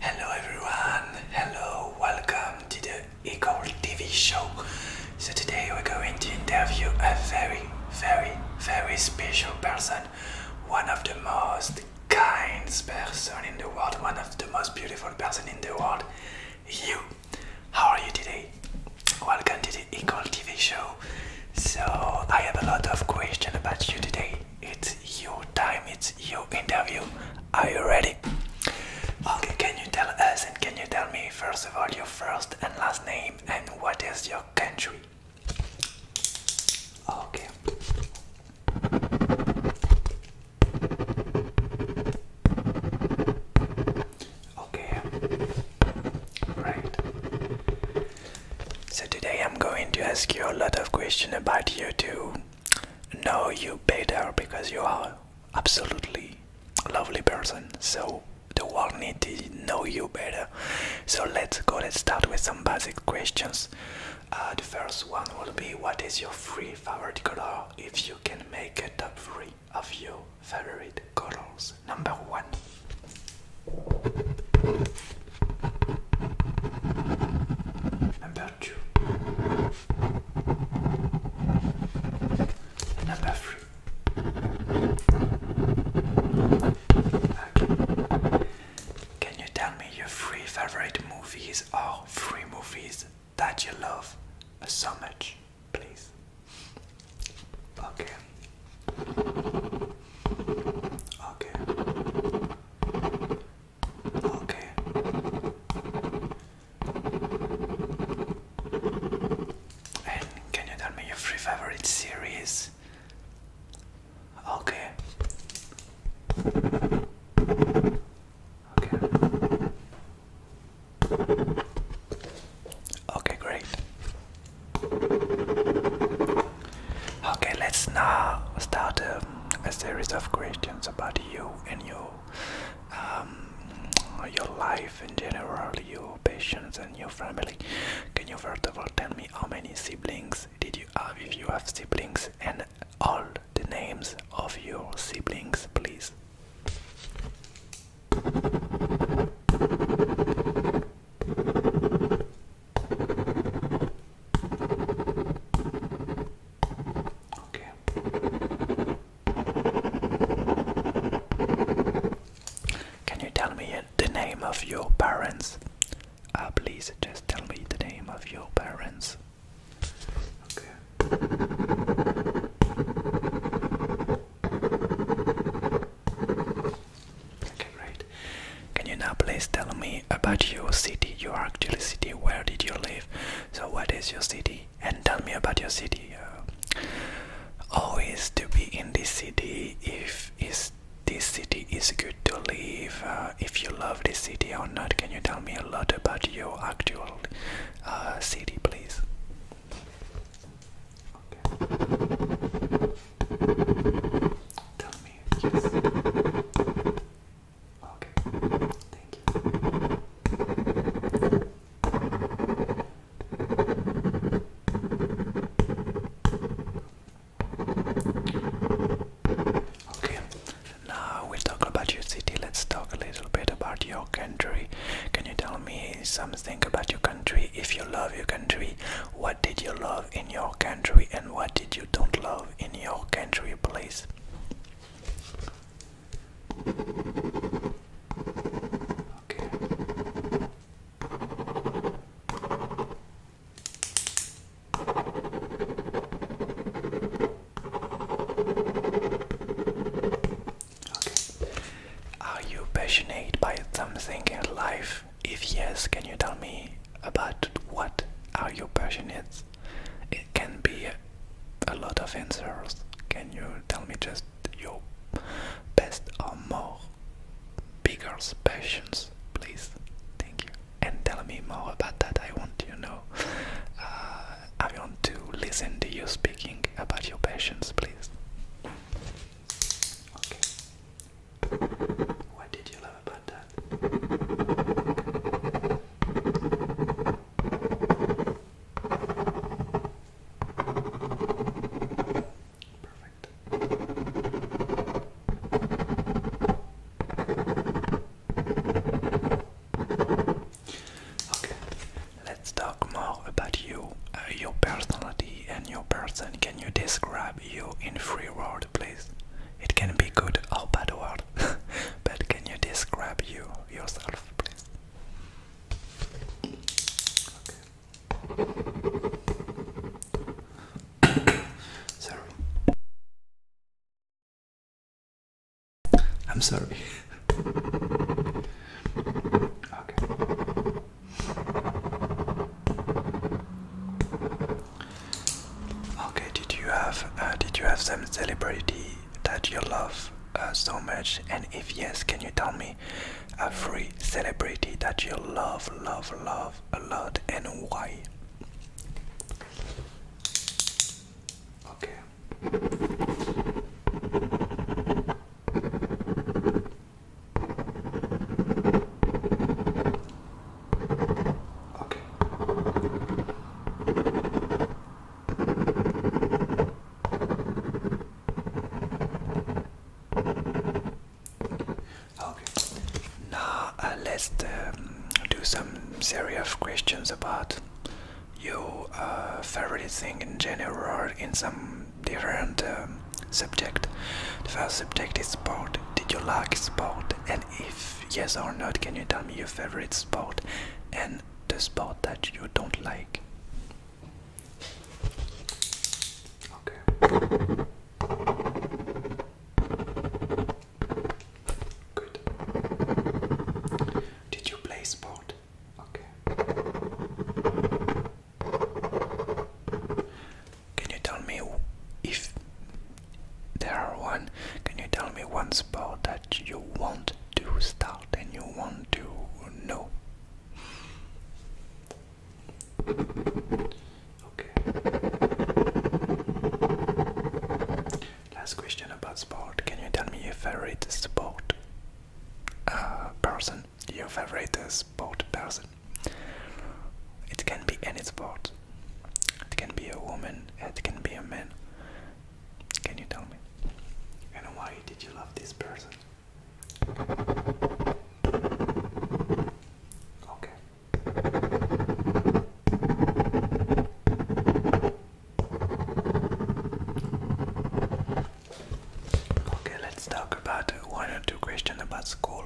Hello everyone, hello, welcome to the Equal TV show. So today we're going to interview a very, very, very special person, one of the most kind person in the world, one of the most beautiful person in the world, you. How are you today? Welcome to the Equal TV show. So I have a lot of questions about you today it's your time, it's your interview. Are you ready? Okay, can you tell us and can you tell me first of all your first and last name and what is your country? Okay. Okay. Right. So today I'm going to ask you a lot of questions about you to Know you better because you are absolutely a lovely person. So the world needs to know you better. So let's go. Let's start with some basic questions. Uh, the first one will be: What is your three favorite color? If you can make a top three of your favorite colors, number one. Number two. Number three. Okay. Can you tell me your three favorite movies or three movies that you love so much, please? Okay. Okay. Okay. And can you tell me your three favorite series? Okay. Okay. Okay, great. Okay, let's now start um, a series of questions about you and your um, your life in general, your patients and your family. Can you first of all tell me how many siblings did you have, if you have siblings, and all the names of your siblings, please? Okay. Can you tell me the name of your parents? Uh, please just tell me the name of your parents. Okay, great. Can you now please tell me about your city, your actual city? Where did you live? So, what is your city? And tell me about your city. Uh, always to be in this city. If is this city is good to live? Uh, if you love this city or not? Can you tell me a lot about your actual uh, city, please? Okay. Tell me Okay. Thank you. Okay. Now we talk about your city. Let's talk a little bit about your can you tell me something about your country? If you love your country, what did you love in your country and what did you don't love in your country, please? Are you passionate by something in life? If yes, can you tell me about what are your passions? It can be a lot of answers. Can you tell me just your best or more bigger passions, please? Thank you. And tell me more about that. I want to know. Uh, I want to listen to you speaking about your passions, please. Okay. What did you love about that? Perfect. Okay, let's talk more about you, uh, your personality, and your person. Can you describe you in free words, please? It can be good or bad word, but can you describe you yourself, please? Sorry. I'm sorry. okay. Okay. Did you have uh, Did you have some celebrity that you love uh, so much? And if yes, can you tell me a free celebrity that you love, love, love a lot, and why? Okay. Okay. Okay. Now uh, let's um, do some series of questions about your uh, favorite thing in general in some different um, subject. The first subject is sport. Did you like sport? And if yes or not, can you tell me your favorite sport and the sport that you don't like? Okay. Good. Did you play sport? Okay. Can you tell me if there are one? Can you tell me one sport that you want to start and you want to know? Okay. Last question about sport. Can you tell me your favorite sport uh, person? Your favorite sport person? It can be any sport. It can be a woman. It can be a man. Can you tell me? And why did you love this person? Okay. Okay, let's talk about one or two questions about school.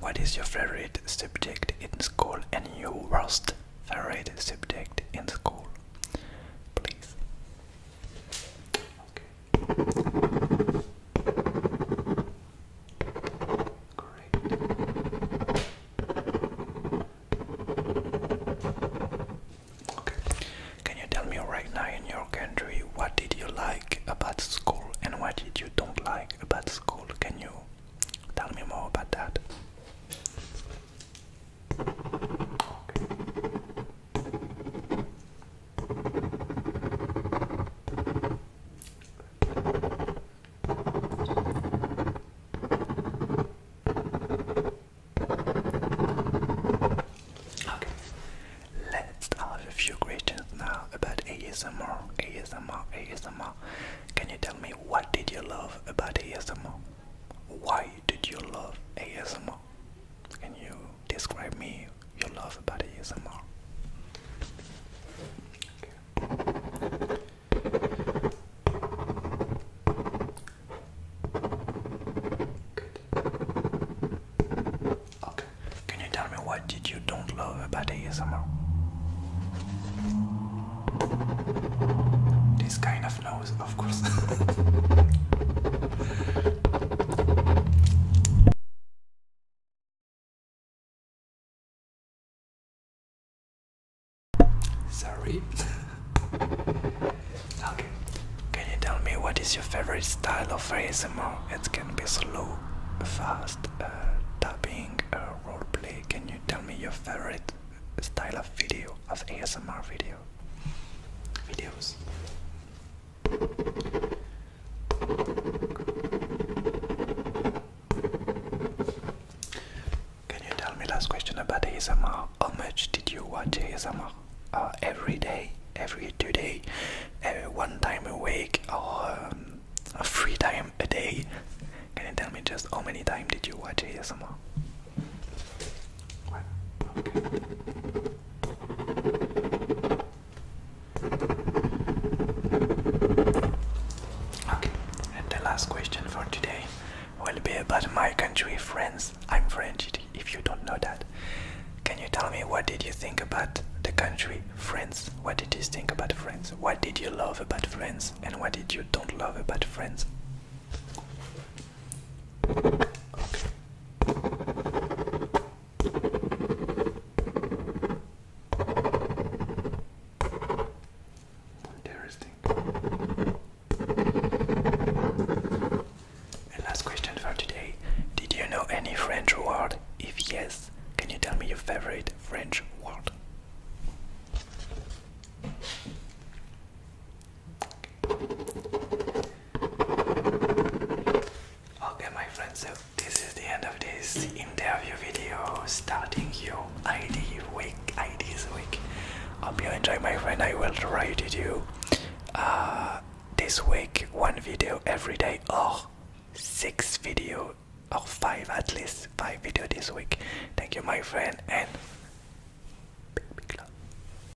What is your favorite subject in school and your worst favorite subject in school? Please. Great. Okay. Can you tell me right now in your country what did you like about school and what did you don't like about school? Can you tell me more about that? Okay. Okay, let's have a few questions now about ASMR. ASMR, ASMR. Can you tell me what did you love about ASMR? Why did you love ASMR? Can you describe me you love about ASMR. Good. Okay. Can you tell me what did you don't love about ASMR? This kind of nose, of course. Sorry. okay. Can you tell me what is your favorite style of ASMR? It can be slow, fast, tapping, uh, uh, roleplay. Can you tell me your favorite style of video, of ASMR video? Videos. Can you tell me last question about ASMR? How much did you watch ASMR? everyday uh, every day, every two day, every one time a week, or um, three time a day? Can you tell me just how many times did you watch ASMR? Okay, and the last question for today will be about my country, France. I'm French, if you don't know that. Can you tell me what did you think about the country, France? What did you think about France? What did you love about France? And what did you don't love about France? Interesting. And last question for today. Did you know any French word? If yes, can you tell me your favorite French word? Okay, my friends, so this is the end of this interview video starting your ID week, IDs week. Hope you enjoy, my friend. I will try to do uh, this week one video every day or six video or five at least five video this week. Thank you, my friend, and big, big love.